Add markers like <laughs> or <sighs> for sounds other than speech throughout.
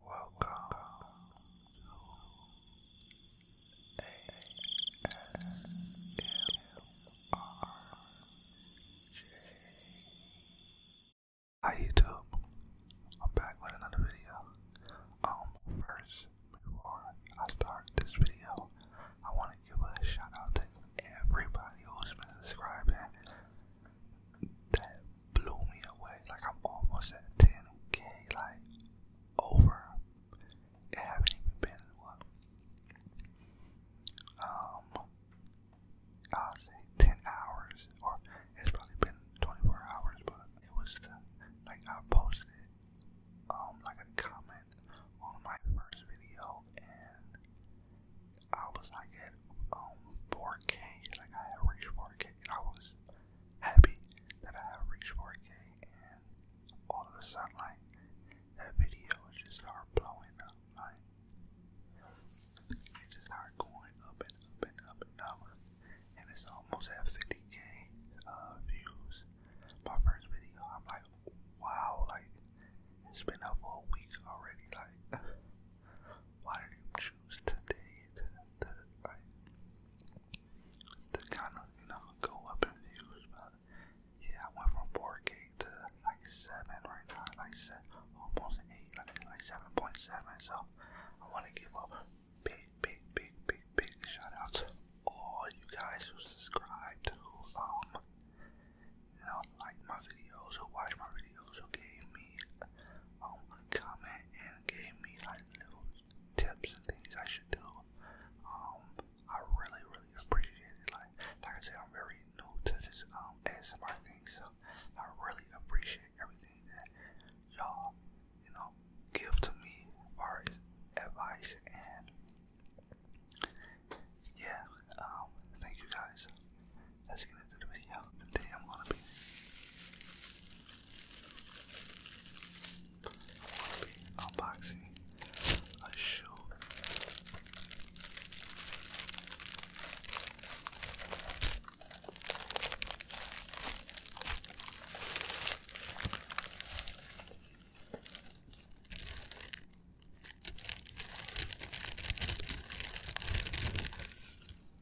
Welcome to Hi YouTube, I'm back with another video. Um, first, before I start this video, I want to give a shout out to everybody who's been subscribing that blew me away. Like I'm almost at 10k, like over. It haven't even been what? Um, I'll say 10 hours, or it's probably been 24 hours, but it was the, like I posted um like a comment on my first video, and I was like at um 4k, like I had reached 4k, and I was happy that I have reached 4K and all of a sudden like that video just started blowing up like it just started going up and up and up and up and it's almost at 50k uh, views. My first video I'm like wow like it's been up for a week already like <sighs> why did it choose today that, that I that kind of you know go up in views, but yeah, I went from 4K to like seven right now, like seven, almost eight, like seven point seven. So I want to give up big, big, big, big, big shout out to all you guys who subscribed, who um, you know, like my videos, who watch my videos, who gave me um, a comment and gave me like little tips and things I should do. Um, I really, really appreciate it. Like, like I said, I'm very new to this um ASMR thing, so I really appreciate everything that y'all, you know, give to me as advice and yeah. Um, thank you guys. Let's get into the video out the I'm gonna be. I'm gonna be unboxing a shoe.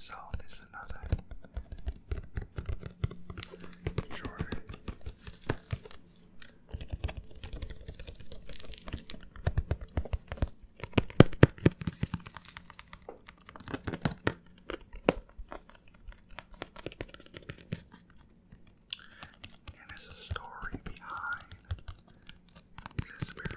So this is another drawer. And there's a story behind this bear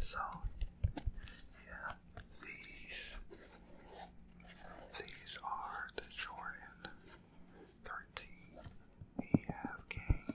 So, yeah, these these are the Jordan 13 we have game.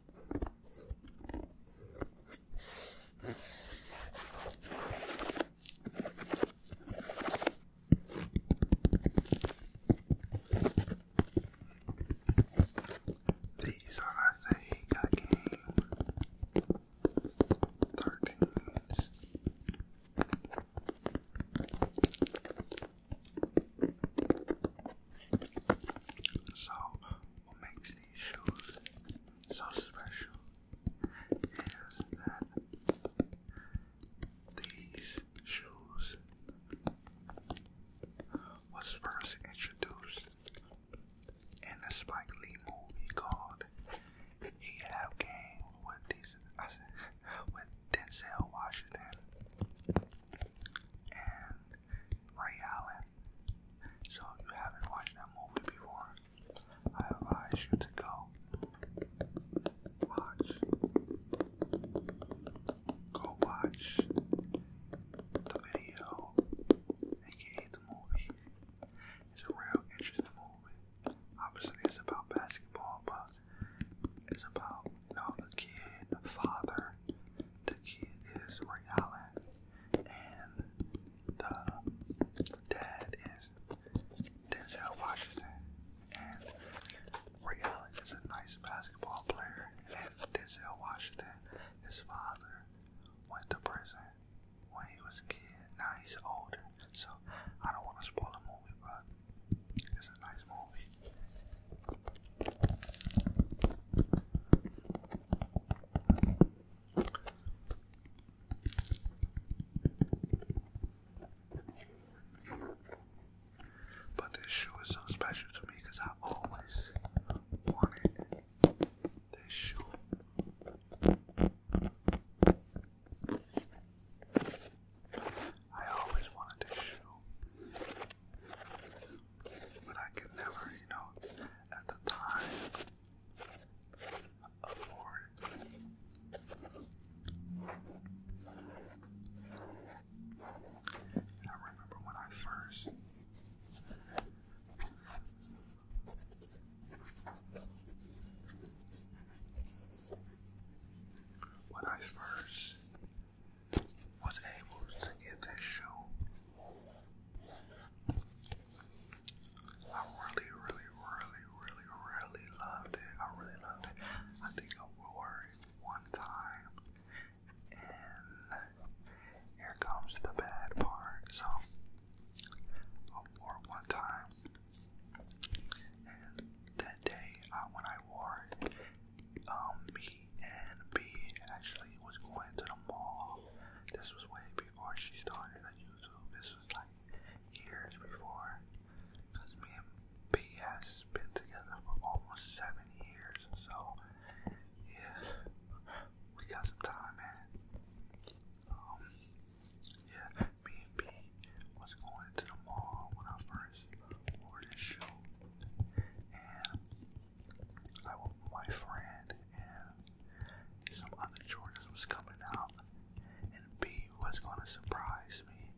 These are the Sega game So what makes these shoes so special is that these shoes was first introduced in a Spike Lee movie called He Have Game with these with Denzel Washington and Ray Allen. So if you haven't watched that movie before, I advise you to go watch. Go watch the video, aka the movie. It's a real interesting movie. Obviously, it's about basketball, but it's about the kid, the father, the kid is Ray Allen and the dad is Denzel Washington. And Ray Allen is a nice basketball player, and Denzel Washington, his father, went to prison when he was a kid. Now he's older, so I don't want to spoil the movie, but it's a nice movie. But this shoe is so special to me because I always wanted this shoe. I always wanted this shoe but I could never, you know, at the time afford it. I remember when I first when I first was able to get this show. I really, really, really, really, really loved it. I really loved it. I think I wore it one time, and here comes the bad part. So, I wore it one time, and that day when I wore it, um, and B actually was going to the mall. This was way before she started on YouTube. This was like years before. Because me and B has been together for almost seven years. So, yeah, we got some time, man. Um, yeah, me and B was going to the mall when I first wore this shoe. I went my friend and some other Jordans was coming out, and B was gonna surprise me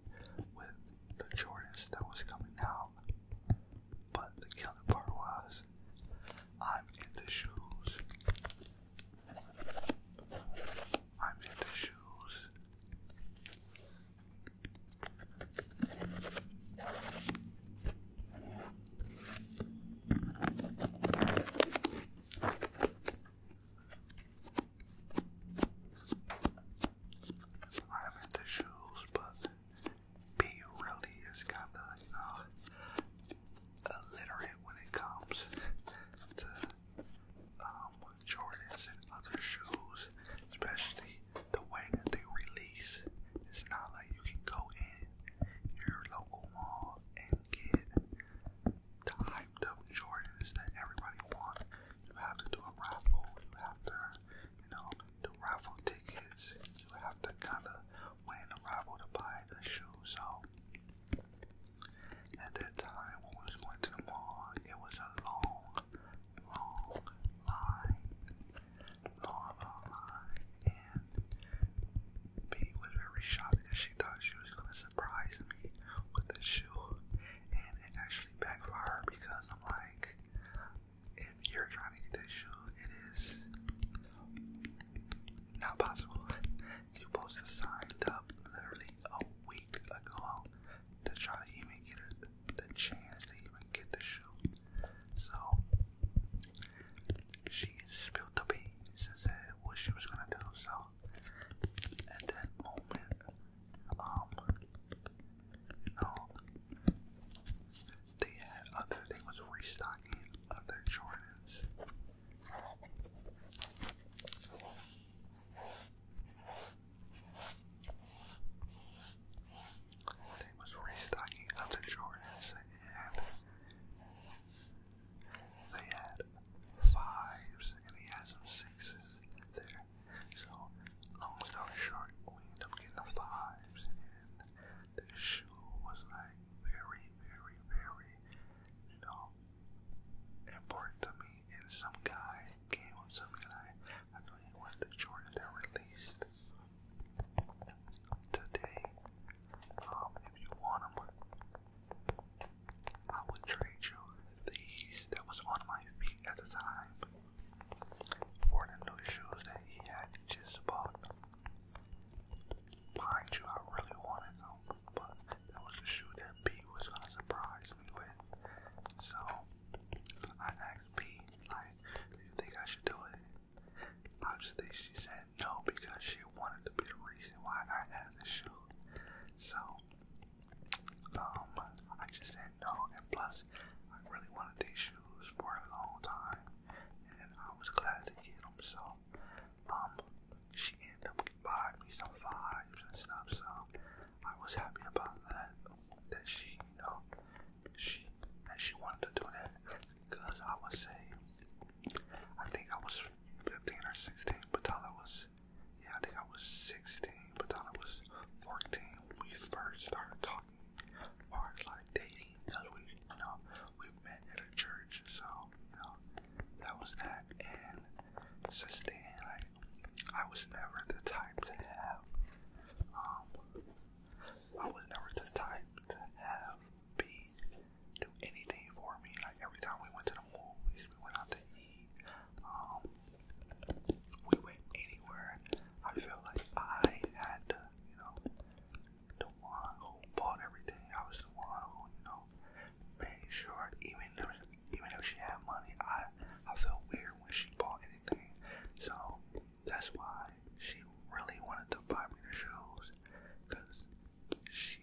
with the Jordans that was coming out. But the killer part was, I'm in the shoes. I'm in the shoes. I haven't shoes, but B really is kind of, you know, illiterate when it comes to um, Jordans and other shoes, especially the way that they release. It's not like you can go in your local mall and get the hyped up Jordans that everybody wants. You have to do a raffle. You have to, you know, do raffle tickets. You have to kind of win a raffle to buy the shoe. So at that time, when we was to the mall, it was a long, long line. Lava and B was very shocked because she thought she was gonna surprise me with this shoe and it actually backfired because I'm like if you're trying to get this shoe it is not possible. You supposed to signed up literally a week ago to try to even get the chance to even get the shoe. So she spilled the beans and said what she was gonna do. So at that moment, um, you know, they had uh, other they was restocking other Jordans. They was restocking other Jordans and they had fives and he had some sixes there. So long story short, we ended up getting the fives and the shoe was like very, very, very, you know, important to me. And some guy came up to me like, I know you want the Jordan that released today. Um, if you want them, I would trade you these that was on my feet at the time for the new shoes that he had just bought. Mind you, I really wanted them, but that was the shoe that B was gonna surprise me with. So I asked B, like, do you think I should do it? Obviously, she said no because she wanted to be the reason why I had the shoe. So, um, I just said no, and plus, I really wanted these shoes for a long time, and I was glad to get them. So, um, she ended up buying me some vibes and stuff. So, I was happy about that. That she, you know, she and she wanted to do that because I would say I think I was 15 or 16, but I was yeah I think I was 16, but I was 14 when we first started talking or like dating because we you know we met at a church so you know that was that and sixteen, like I was never the type to have um I was never the type to have B do anything for me. Like every time we went to the movies, we went out to eat. Um, we went anywhere. I feel like I had to, you know, the one who bought everything. I was the one who, you know, made sure. Even if, even if she had money, I I felt weird when she bought anything. So that's why she really wanted to buy me the shoes, cause she,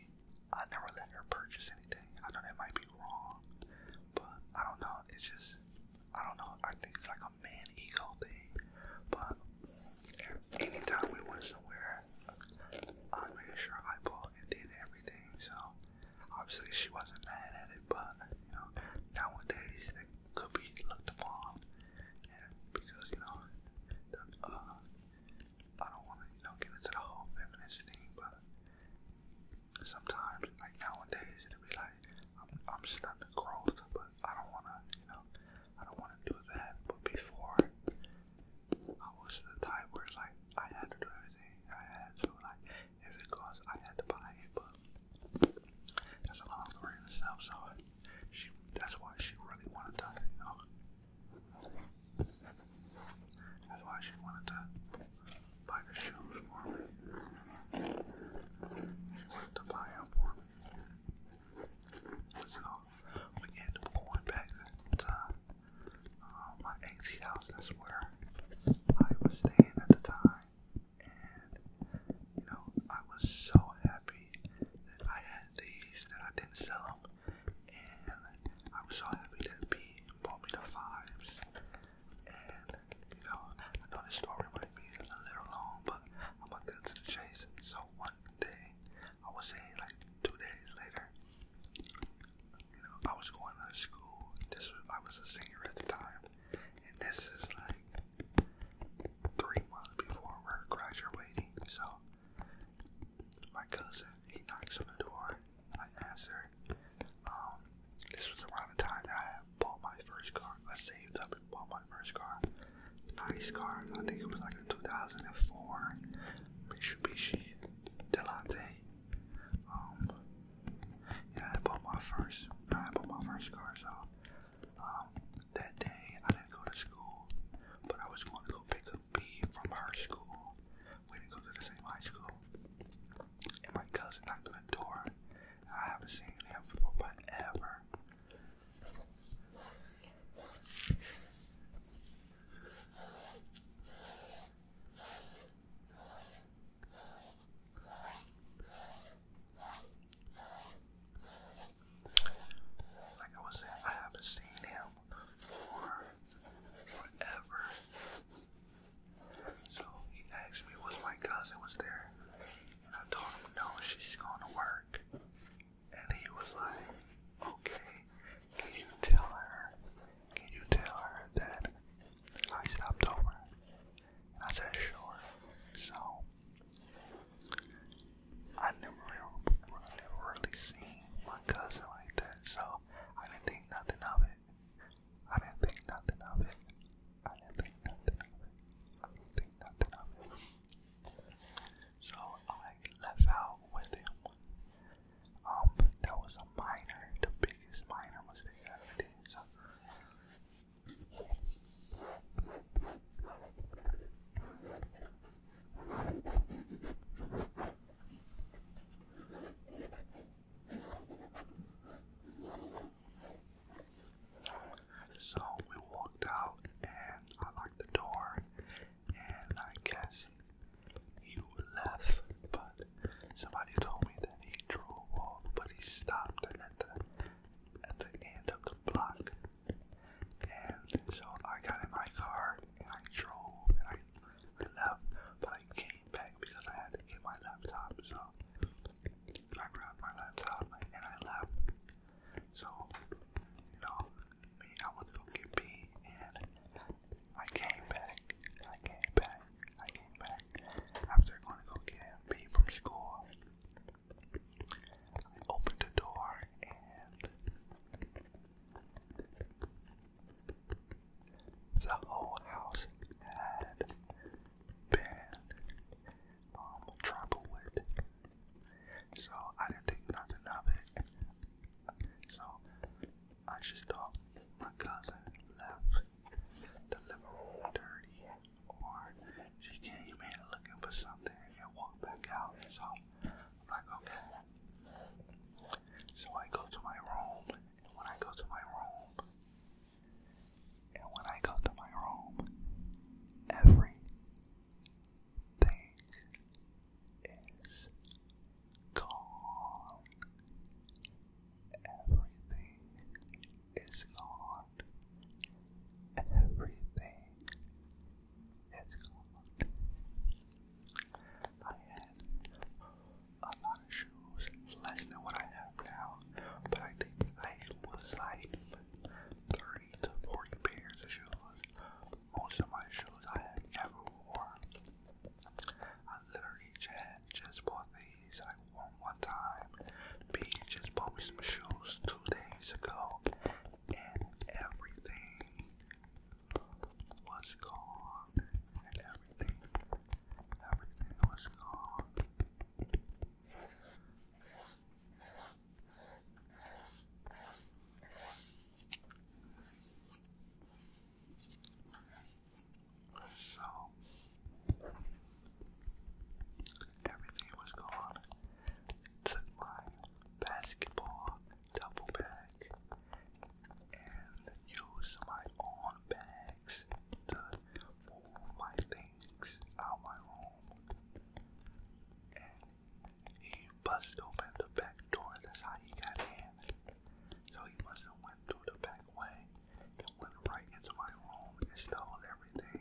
I never let her purchase anything. I know it might be wrong, but I don't know. It's just, I don't know. I think it's like a man ego thing. But anytime we went somewhere, I made sure I bought and did everything. So obviously she wasn't mad at it, but you know, nowadays it could be looked upon because you know, uh, I don't want to you know get into the whole feminist thing, but sometimes like nowadays it'll be like I'm I'm stuck to growth, but I don't want to you know I don't want to do that. But before I was the type where like I had to do everything, I had to like if it costs I had to buy it, but that's a long story in itself. So that's why she really wanted to, you That's why she wanted to buy the shoes for me. She wanted to buy them for me. So, we ended up going back to uh, my aunt's house. That's where I was staying at the time. And, you know, I was so happy I had these and I didn't sell them. And I was so happy that B bought me the fives. And, you know, I know this story might be a little long, but I'm gonna get to the chase. So one day, I was saying like two days later, you know, I was going to school. This was, I was a senior at the time, and this is like three months before we're graduating. So my cousin, he knocks on the door. I answer. Um, this was around the time that I bought my first car. I saved up and bought my first car. Nice car. I think it was like a 2004 Mitsubishi Delante. Um, yeah, I bought my first. I bought my first car, so um, that day, I didn't go to school, but I was going to go pick up B from her school. We didn't go to the same high school. And my cousin knocked on the door. I haven't seen him before, but ever. Like I was saying, I haven't seen him for forever. So he asked me was my cousin was there. And I told him no, she's going to work. And he was like, okay, can you tell her? Can you tell her that I stopped over? I said, sure. So I never, I never really seen my cousin like that, so I didn't think nothing of it. I didn't think nothing of it. I didn't think nothing of it. I didn't think nothing of it. So I left out with him. Um, that was a minor, the biggest minor mistake I ever did. So. So we walked out and I locked the door and I guess he left but somebody told me that he drove off but he stopped at the at the end of the block and so I got in my car and I drove and I left, but I came back because I had to get my laptop. So I grabbed my laptop and I left. So, you know, me, I went to go get B and I came back. I came back. I came back. After going to go get B from school, I opened the door and the whole house had been um, trampled with, so I didn't think nothing of it. So I just thought my cousin left the living room dirty, or she came in looking for something and walked back out. So I'm like, okay, so I go to my room, and when I go to my room, and when I go to my room, everything is gone. Everything is gone. Everything I had a lot of shoes, less than what I have now, but I think I was like 30 to 40 pairs of shoes. Most of my shoes I have never worn. I literally had just bought these like one one time. B just bought me some shoes two days ago, and everything was gone, and everything, everything was gone. So everything was gone. Took my basketball Double bag and use my own bags to move my things out my room. And he busted open the back door, that's how he got in. So he must have went through the back way and went right into my room and stole everything.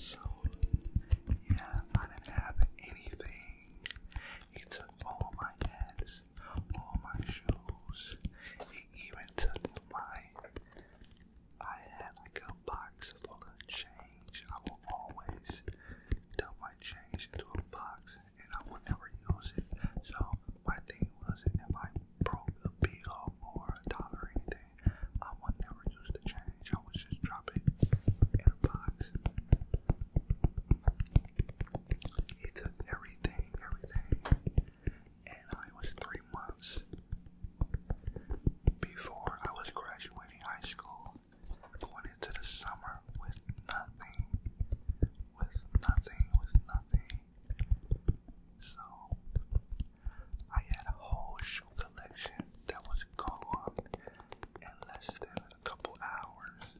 So, yeah, I didn't have anything. He took all my hats, all my shoes. He even took my I had like a box full of change. I will always dump my change into a box and I will never use it. So my thing was if I broke a bill or a dollar or anything, I would never use the change. I would just drop it in a box. He took everything, everything, and I was three months before I was graduating high school, going into the summer with nothing, with nothing, with nothing. So I had a whole shoe collection that was gone in less than a couple hours.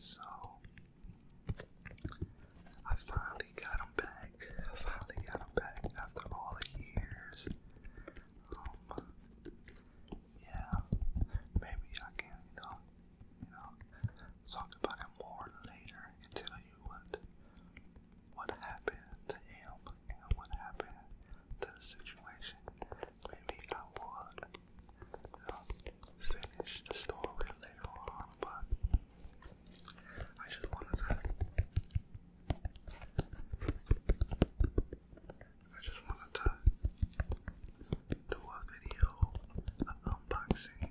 So I finally got him back. finally got him back after all the years. Um, yeah, maybe I can, you know, you know, talk about it more later and tell you what what happened to him and what happened to the situation. Maybe I would i finish the story later on, but I just wanted to. I just wanted to do a video, unboxing.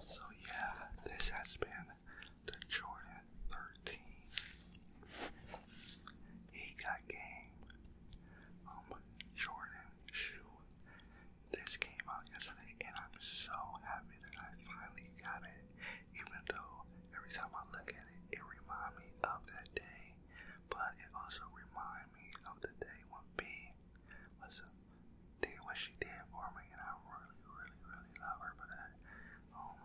So, yeah, this has been the Jordan 13. He got game. Um, Jordan shoe this came out yesterday, and I'm so happy that I finally got it. Even though every time I look at it, it reminds me of that day, but it also reminds me of the day when B was doing what she did for me, and I really, really, really love her But Um,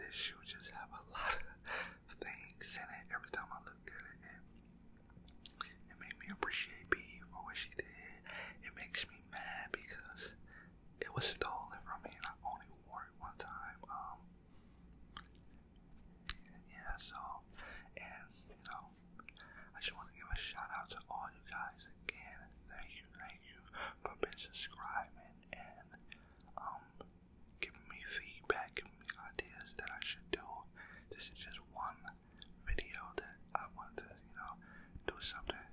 this shoe just have a lot of <laughs> things in it. Every time I look at it it made me appreciate B for what she did. It makes me mad because it was stolen from me and I only wore it one time. Um, yeah, so, and, you know, I just want to give a shout out to all you guys again. Thank you, thank you for being subscribing and, um, giving me feedback, giving me ideas that I should do. This is just one video that I wanted to, you know, do something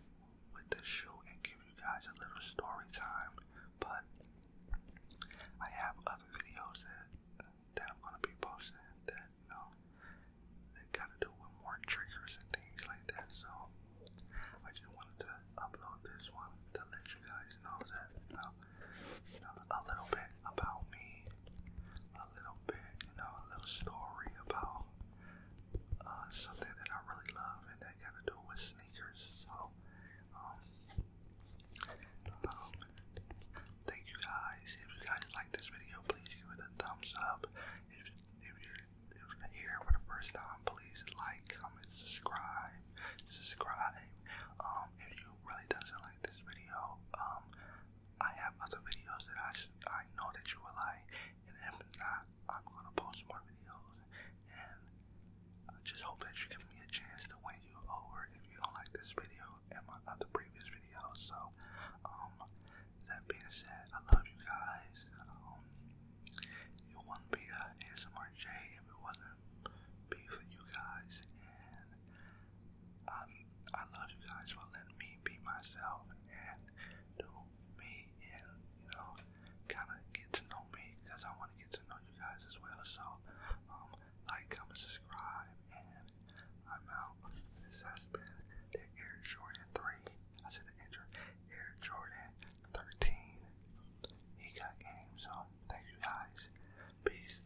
with the shoe and give you guys a little story time. But I have other videos that that I'm gonna be posting that you know that gotta do with more triggers and things like that. So I just wanted to upload this one to let you guys know that you know, you know a little bit about me a little bit, you know, a little story about uh, something that I really love and that got to do with sneakers. So, um, um, thank you guys. If you guys like this video, please give it a thumbs up. If, you're, if you're here for the first time, please like, comment, subscribe, subscribe. Um, if you really doesn't like this video, um, I have other videos that I I know that you will like, and if not, I'm gonna post more videos. And I just hope that you give me a chance to win you over if you don't like this video and my other previous videos. So, um, that being said, I love you guys. Um, it wouldn't be a ASMR if it wasn't be for you guys, and I, I love you guys for letting me be myself and do me and, you know, kind of get to know me because I want to get to know you guys as well. So, um, like, comment, subscribe, and I'm out. This has been the Air Jordan 3. I said the intro. Air Jordan 13. He got game. So, thank you guys. Peace.